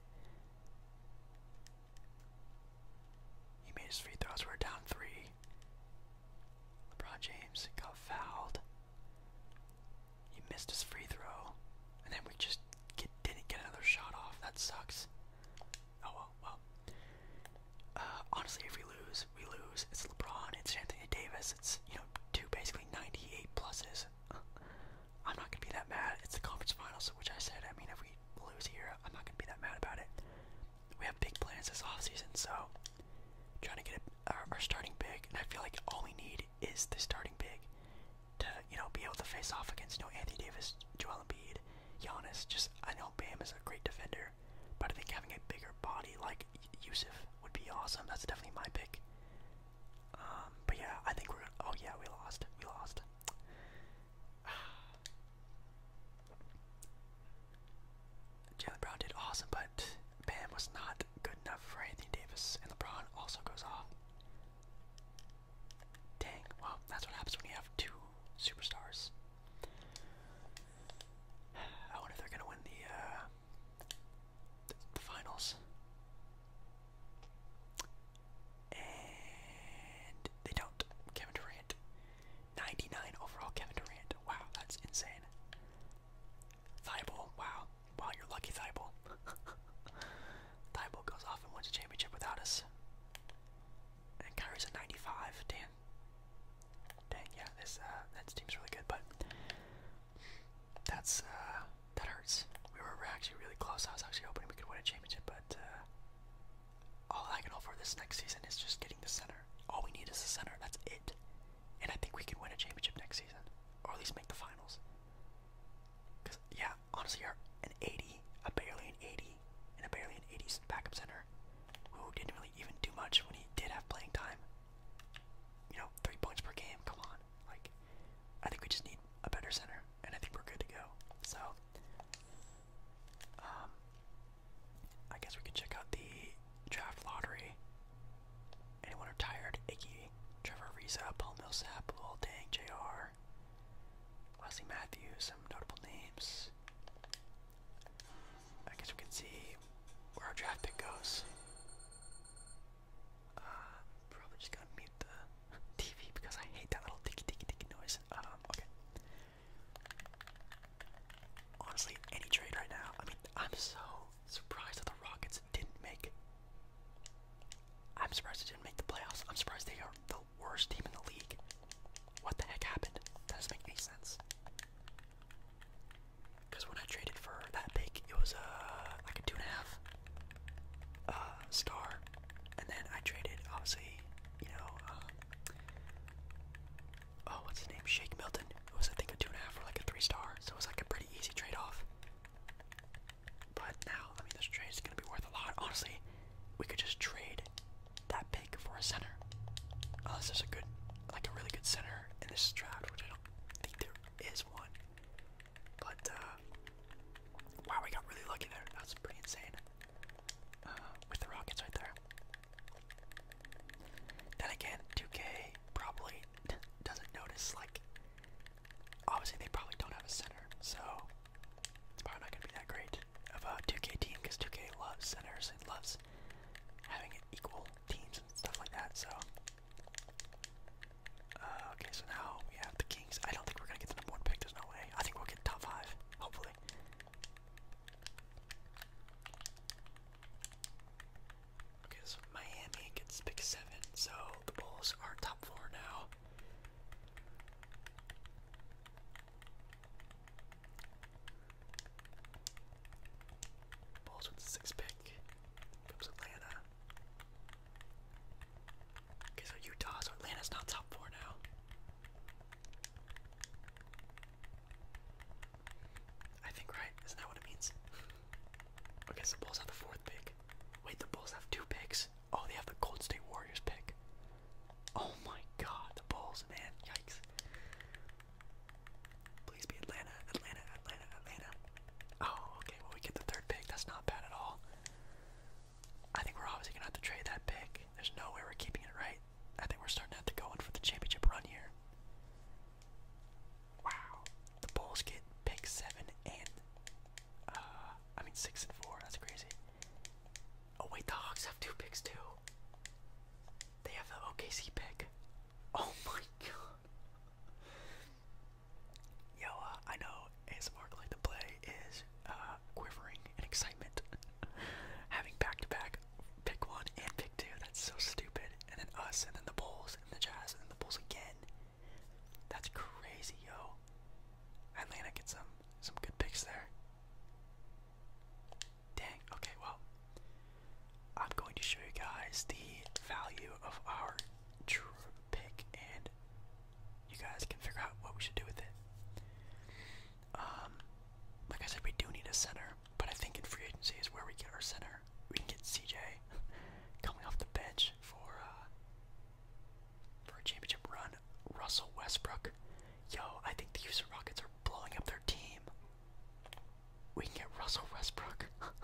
He made his free throws. We're down three. LeBron James got fouled. He missed his free throw, and then we just didn't get another shot off. That sucks. Oh well, well. Uh, honestly, if we lose, we lose. It's LeBron. It's Anthony Davis. It's you know two basically 98 pluses. [laughs] I'm not gonna be that mad. It's the conference finals, which I said. I mean, if we lose here, I'm not gonna be that mad about it we have big plans this offseason, so trying to get a, our, starting big, and I feel like all we need is the starting big to, you know, be able to face off against, you know, Anthony Davis, Joel Embiid, Giannis. Just, I know Bam is a great defender, but I think having a bigger body like Yusuf would be awesome. That's definitely my pick. Um, but yeah, I think we're Oh yeah, we lost. We lost. [sighs] Jalen Brown did awesome, but Bam was not good enough for Anthony Davis, and LeBron also goes off. Dang, well, that's what happens when you have two superstars. [sighs] I wonder if they're gonna win the, uh, finals. And they don't. Kevin Durant Durant. 99 overall Kevin Durant. Wow, that's insane. Thibault, wow. Wow, you're lucky, Thibault. [laughs] Thibault goes off and wins a championship without us. And Kyrie's a 95. Damn. Dang, yeah, this uh, that team's really good, but that's uh, that hurts. We were actually really close. I was actually hoping we could win a championship, but uh, all I can offer this next season is just getting the center. All we need is the center. That's it. And I think we can win a championship next season, or at least make the finals. Cause yeah, honestly, an 80, a barely an 80, and a barely an 80s backup center who didn't really even do much when he did have playing time. You know, three points per game. Come on, like I think we just need a better center, and I think we're good to go. So, um, I guess we could check out the draft lottery. Anyone retired? Iggy, Trevor Reza, Paul Millsap, Lil Dang, Jr., Wesley Matthews, some notable names. I guess we can see where our draft pick goes. Uh, probably just gonna mute the [laughs] TV because I hate that little ticky ticky ticky noise. Um, okay. Honestly, any trade right now. I mean, I'm so surprised that the Rockets didn't make I'm surprised they didn't make the playoffs. I'm surprised they are the worst team in the league. What the heck happened? doesn't make any sense. Because when I traded for that pick, it was a uh, like a two and a half uh, star. And then I traded, obviously, you know, uh, oh, what's his name? Shake Milton. It was I think a two and a half or like a three star, so it was like a pretty easy trade off. But now, I mean, this trade is gonna be worth a lot. Honestly, we could just trade that pick for a center, Oh, this is a good, like a really good center in this draft, which I don't think there is one. But uh, wow, we got really lucky there. That's pretty insane. Uh, with the Rockets right there. Then again, 2K probably [laughs] doesn't notice, like, obviously they probably don't have a center, so it's probably not going to be that great of a 2K team because 2K loves centers and loves having equal teams and stuff like that, so. Uh, okay, so now we have the Kings. I don't think we're going to get the number one pick, there's no way. I think we'll get top five, hopefully. Okay, so Miami gets pick seven, so the Bulls are top four now. Bulls with the six pick. Comes Atlanta. Okay, so Utah's so Atlanta's not top four now. I think, right? Isn't that what it means? Okay, so the Bulls have the fourth pick. Wait, the Bulls have two picks? Oh, they have the Gold State Warriors pick. Oh my god, the Bulls, man. Yikes. Please be Atlanta, Atlanta, Atlanta, Atlanta. Oh, okay, well, we get the third pick. That's not bad at all. I think we're obviously going to have to trade that pick. There's no way we're keeping it, right? I think we're starting to have to go in for the championship run here. Wow. The Bulls get pick seven and uh I mean six and four, that's crazy. Oh wait, the Hawks have two picks too. They have the OKC pick. Oh [laughs] my god. Yo, uh, I know ASMR like to play is uh uh, quivering in excitement. [laughs] Having back to back pick one and pick two, that's so stupid. And then us, and then the Bulls, and the Jazz, and the Bulls again. That's crazy, yo. Atlanta gets some some good picks there. Dang, okay, well. I'm going to show you guys the value of our true pick and you guys can figure out what we should do with it. Um, like I said, we do need a center, but I think in free agency is where we get our center. We can get CJ [laughs] coming off the bench for uh, for a championship run. Russell Westbrook, yo, I think the Houston Rockets are blowing up their team. We can get Russell Westbrook. [laughs]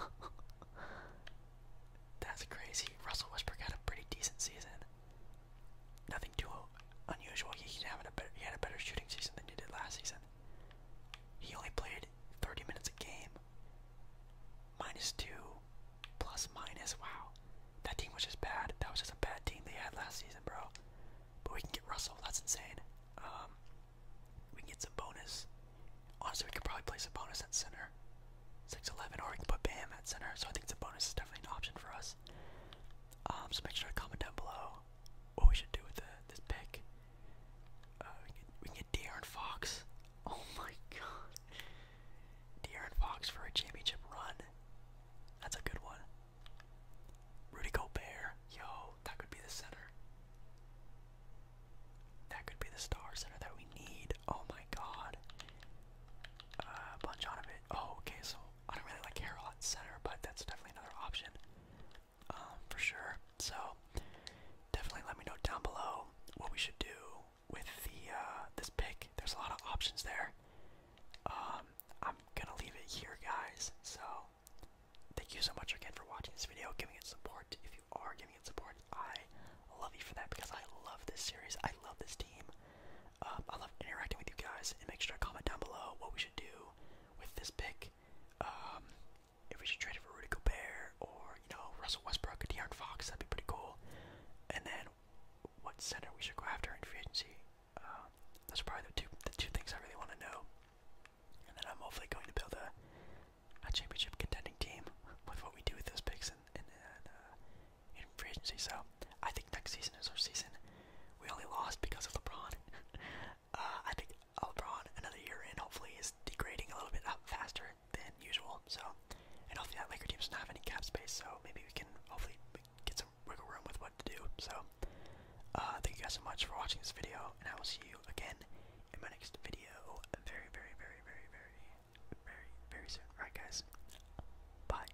That's crazy. Russell Westbrook had a pretty decent season nothing too unusual. He, he's having a better, he had a better shooting season than he did last season. He only played 30 minutes a game. Minus two, plus minus. Wow, that team was just bad. That was just a bad team they had last season, bro. But we can get Russell. That's insane. Um, we can get some bonus. Honestly, we could probably place a bonus at center. 6'11, or we can put Bam at center. So I think the bonus is definitely an option for us. Um, so make sure to comment down below what we should do with the, this pick. Uh, we, can, get De'Aaron Fox. [laughs] Oh my god. De'Aaron Fox for a championship run. That's a good one. Rudy Gobert. Yo, that could be the center. That could be the star center that we need. Oh my god. Uh, Bonjanovic. Oh, okay, so I don't really like hair a center, but that's definitely another option um, for sure. So definitely let me know down below what we should do with the uh, this pick. There's a lot of options there. Um, I'm gonna leave it here, guys. So thank you so much again for watching this video, giving it support. If you are giving it support, I love you for that because I love this series. I love this team. Um, I love interacting with you guys, and make sure to comment down below what we should do with this pick. Um, if we should trade it for Rudy Gobert or you know Russell Westbrook or De'Aaron Fox, that'd be pretty cool. And then what center we should go after in free agency. Uh, That's probably the two the two things I really want to know. And then I'm hopefully going to build a a championship contending team with what we do with those picks and uh, in free agency. So I think next season is our season. We only lost because of LeBron. [laughs] uh, I think LeBron another year in hopefully is degrading a little bit up uh, faster than usual. So, and hopefully that Laker team doesn't have any cap space. So maybe we can hopefully get some wiggle room with what to do. So, uh, thank you guys so much for watching this video, and I will see you again in my next video very, very, very, very, very, very, very soon. All right, guys. Bye.